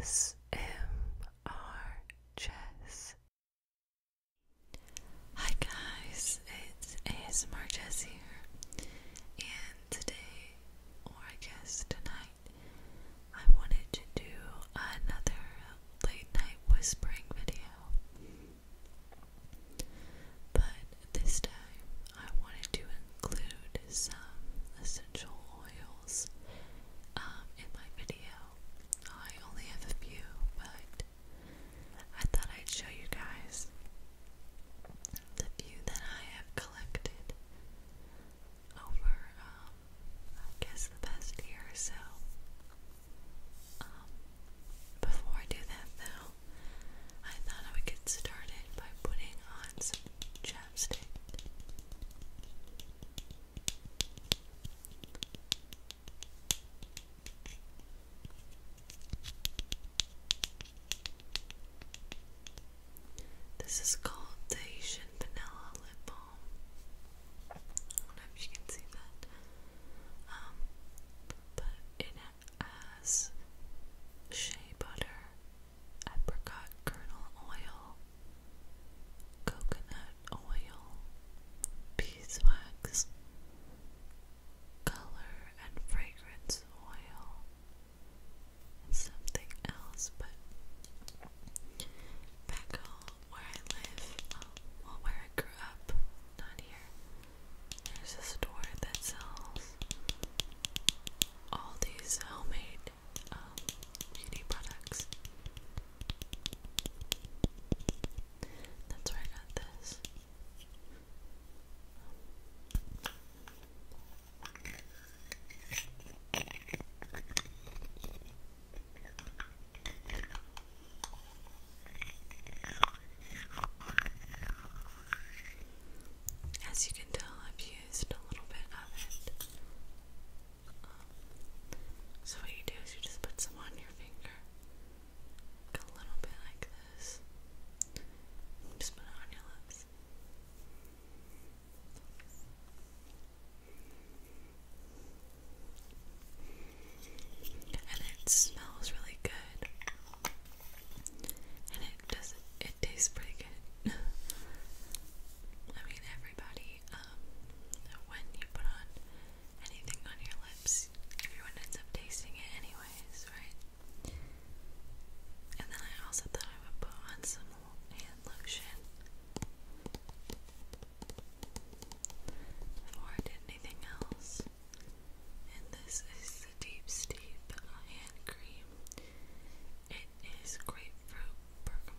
ASMR Jess. Hi guys, it's ASMR Jess here, and today, or I guess tonight, I wanted to do another late night whispering video. But this time, I wanted to include some essential oils um, in my video. I only have a few, but I thought I'd show you guys the few that I have collected over, um, I guess, the past year so. Um, before I do that, though, I thought I would get started by putting on some chapstick. This is called Asian Vanilla Lip Balm. I don't know if you can see that. Um, but it has shea butter apricot kernel oil, coconut oil, beeswax, color and fragrance oil, something else, but back home where I live, um, where I grew up, not here, there's a store that sells all these homemade um, beauty products. That's where I got this. As you can tell, I've used a little bit of it. Um, so, what you do is you just put some on your finger, a little bit like this, just put it on your lips. And it smells really good and it does it tastes pretty good. I mean, everybody, um, when you put on anything on your lips, everyone ends up tasting it anyways, right? And then I also thought I would put on some hand lotion before I did anything else. And this is the Deep Steep Hand Cream it is grapefruit bergamot.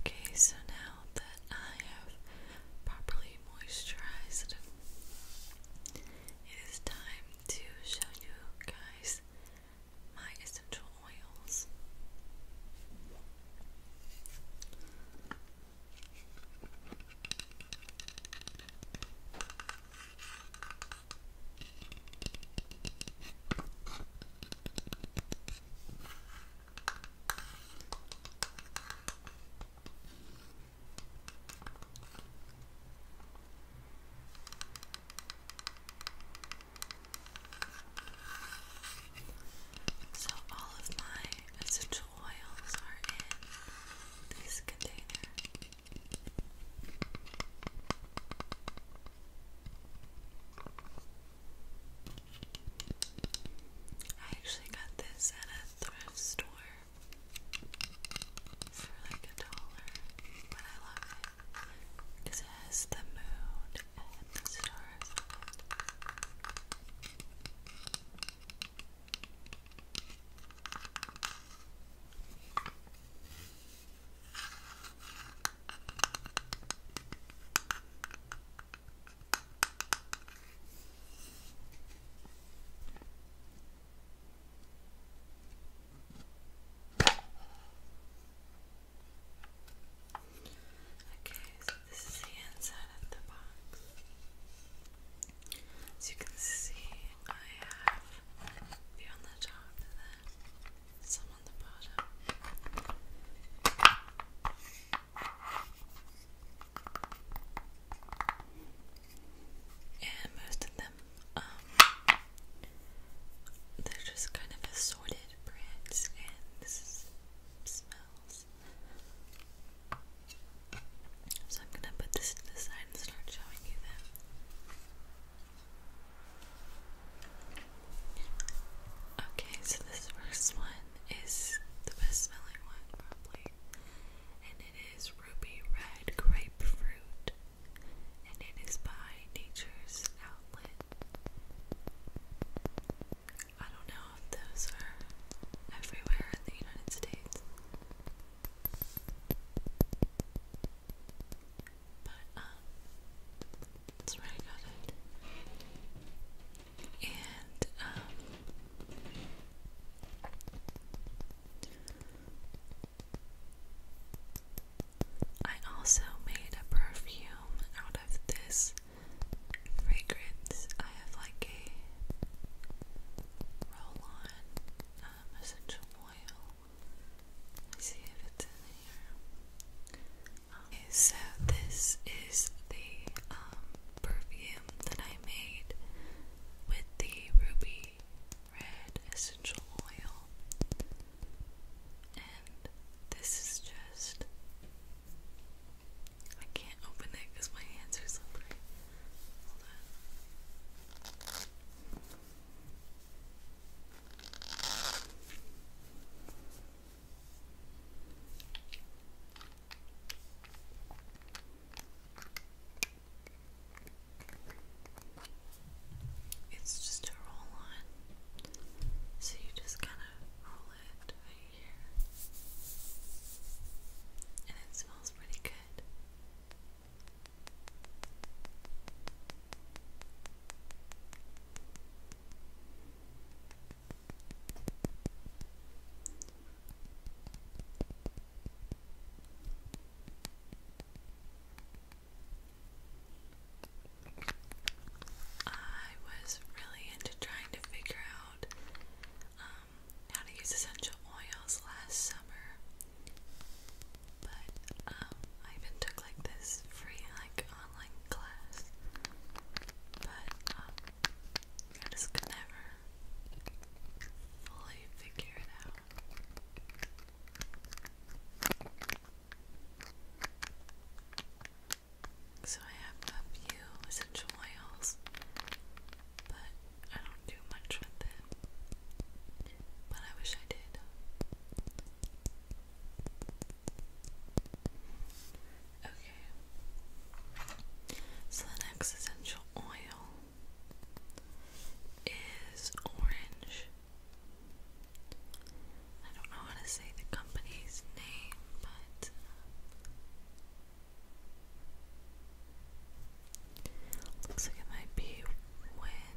Okay, so now that I have properly moisturized, it is time to show you guys my essential oils. So, all of my essential oils are in this container. I actually got this at a thrift store for like a dollar, but I love it because it has the moon and the stars. Okay, so this is the inside of the box. As you can see, I have a on the top and then some on the bottom. And most of them, um, they're just kind of assorted brands, and smells. So I'm gonna put this to the side and start showing you them. Okay, so this first one is the best smelling one, probably. And it is Ruby Red Grapefruit. And it is by Nature's Outlet. I don't know if those are everywhere in the United States. But, um, that's where I got it. And, um, I also made a perfume out of this fragrance. I have like a roll on um, essential oil. Let's see if it's in here so this is the um, perfume that I made with the ruby red essential oil, and this is just. I can't open it because my hands are slippery. Hold on. It's just a roll on, so you just kind of roll it right here, and it smells pretty good. I was really into trying to figure out um, how to use essential oils last summer, but um, I even took like this free like online class, but um, I just could never fully figure it out. So I have a few essential oils, but I don't do much with them. But I wish I did. Okay. So the next essential oil is orange. I don't know how to say the company's name, but um, looks like it might be Windmere.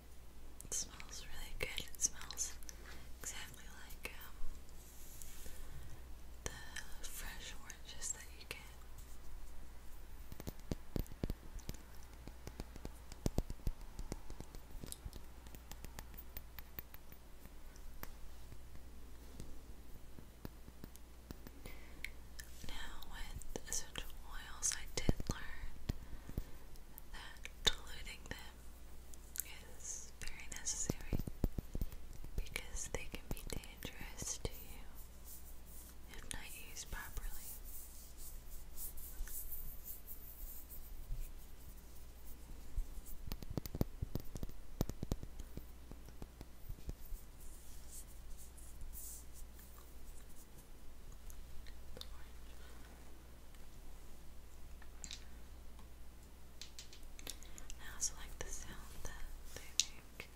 it smells really good. It smells exactly like um, the fresh oranges that you get. Now, with essential oils, I did learn that diluting them is very necessary because they can be dangerous to you if not used properly. The orange. the sound that they make.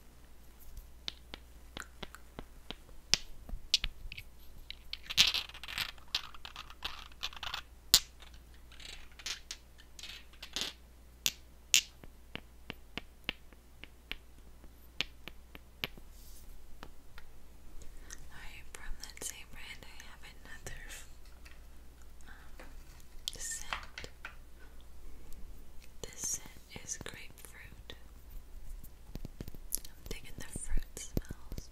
Alright, from that same brand, I have another um, scent. This scent is grapefruit. I'm digging the fruit smells.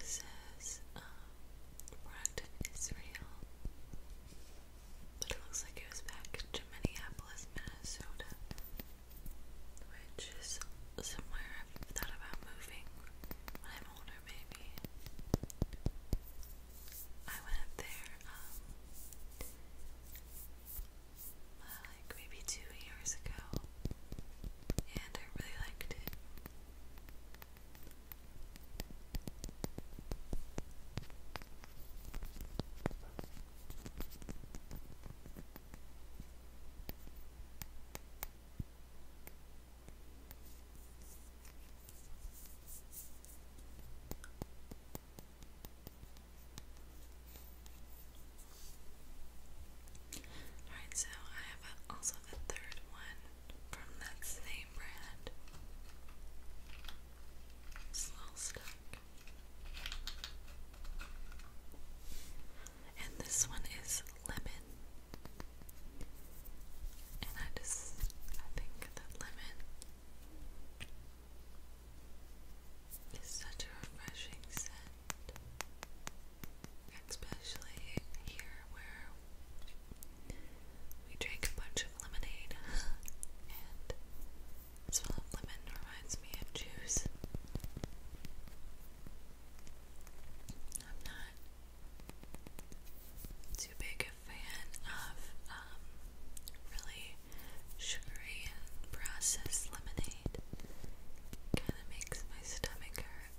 It says, um, product is real. But it looks like it was packaged in Minneapolis, Minnesota. Which is somewhere I've thought about moving when I'm older, maybe. I went up there, um, uh, like maybe two years ago, and I really liked it. Alright, so I have also the third one from that same brand. It's a little stuck. And this one is lemon. And I just, I think that lemon is such a refreshing scent. Especially here where we drank a bunch of lemonade, and smell of lemon reminds me of juice. I'm not too big a fan of um, really sugary and processed lemonade. Kind of makes my stomach hurt.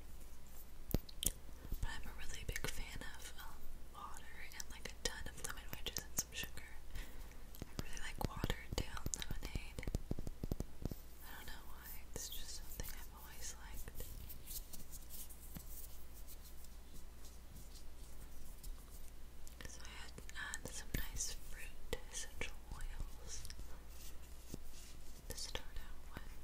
But I'm a really big fan of um, water and like a ton of lemon wedges and some sugar. I really like watered down lemonade. I don't know why, it's just something I've always liked. So I add uh, some nice fruit essential oils to start out with.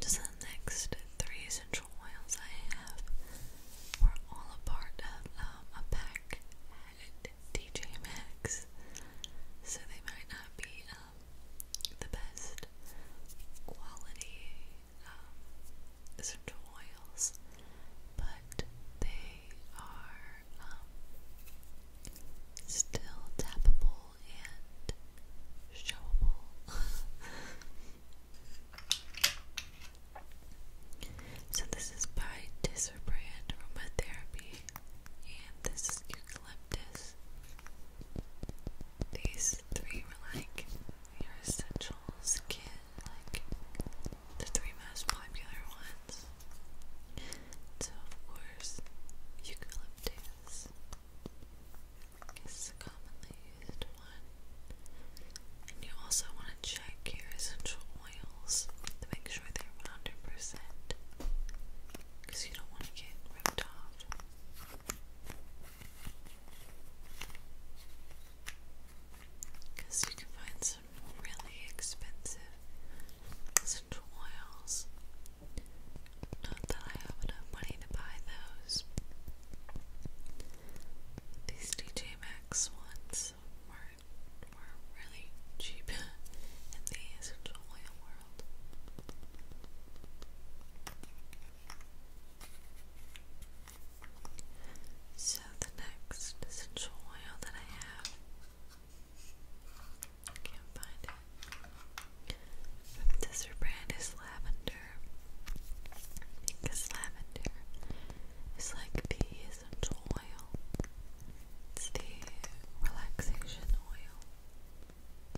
Just the next three essential oils I have were all a part of um, a pack at DJ Maxx, so they might not be um, the best quality um, essential oils, but they are um, still tappable and showable. so this is by Disser Aromatherapy, and this is eucalyptus these three were like your essentials kid, like the three most popular ones. So of course, eucalyptus is the commonly used one. And you also want to check your essential oils to make sure they're 100% because you don't want to get ripped off. Because you can find some really expensive essential oils. Not that I have enough money to buy those. These DJ Maxx ones were, were really cheap in the essential oil world. So, the next essential oil that I have, I can't find it. this brand is lavender because lavender is like the essential oil, it's the relaxation oil.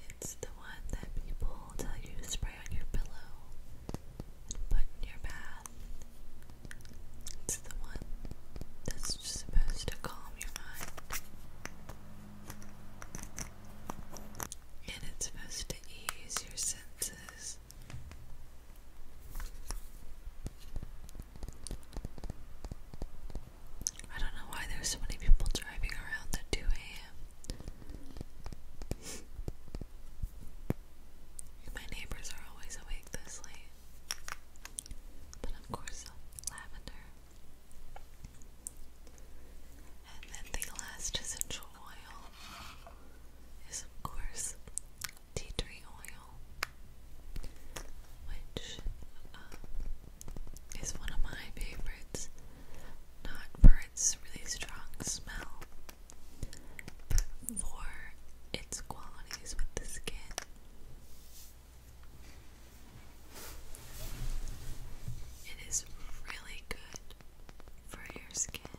It's the one that people tell you to spray on your pillow put in your bath. It's the one that's just supposed to calm your mind. And it's supposed to ease your senses. I don't know why there's so many people driving around at 2 a.m. My neighbors are always awake this late. But of course, lavender. And then the last essential oil is, of course, tea tree oil, which um, is one of my favorites, not for its really strong smell, but for its qualities with the skin. It is really good for your skin.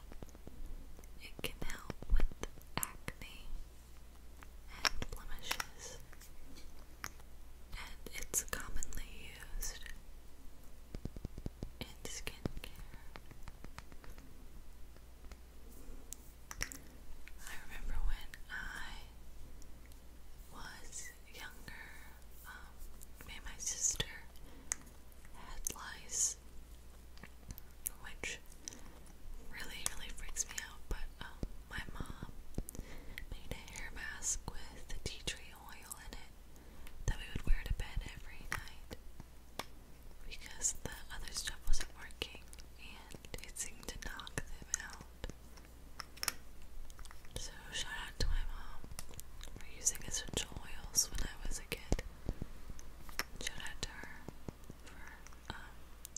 It can help with acne and blemishes and it's commonly used in skincare. I remember when I was younger, um, me and my sister had lice, which really, really freaks me out, but um, my mom made a hair mask with tea tree oil in it that we would wear to bed every night because the other stuff wasn't working and it seemed to knock them out. So, shout out to my mom for using essential oils when I was a kid. Shout out to her for um,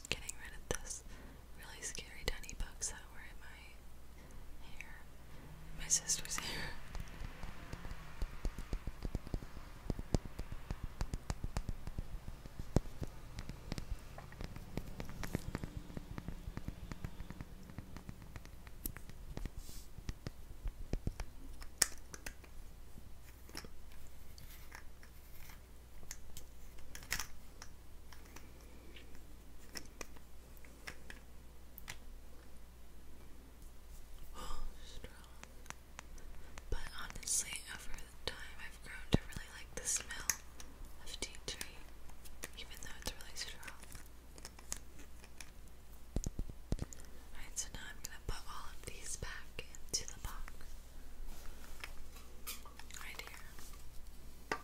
getting rid of this really scary tiny bugs that were in my hair, my sister's hair. Oh, strong. But honestly, over time, I've grown to really like the smell of tea tree, even though it's really strong. Alright, so now I'm gonna put all of these back into the box. Right here.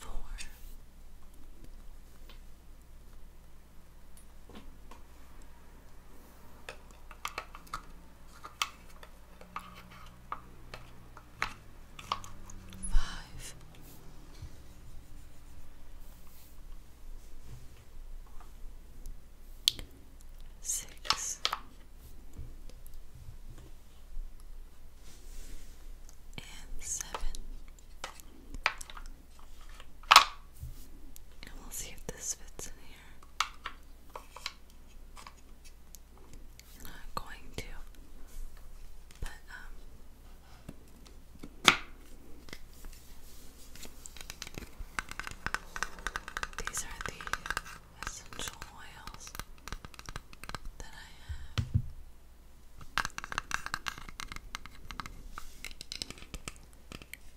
four. Five six, and seven. And we'll see if this fits in here. I'm going to, but, um, these are the essential oils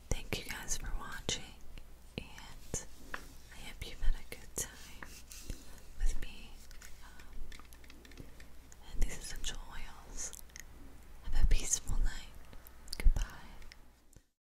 Thank you guys for watching, and I hope you've had a good time with me um, and these essential oils. Have a peaceful night. Goodbye.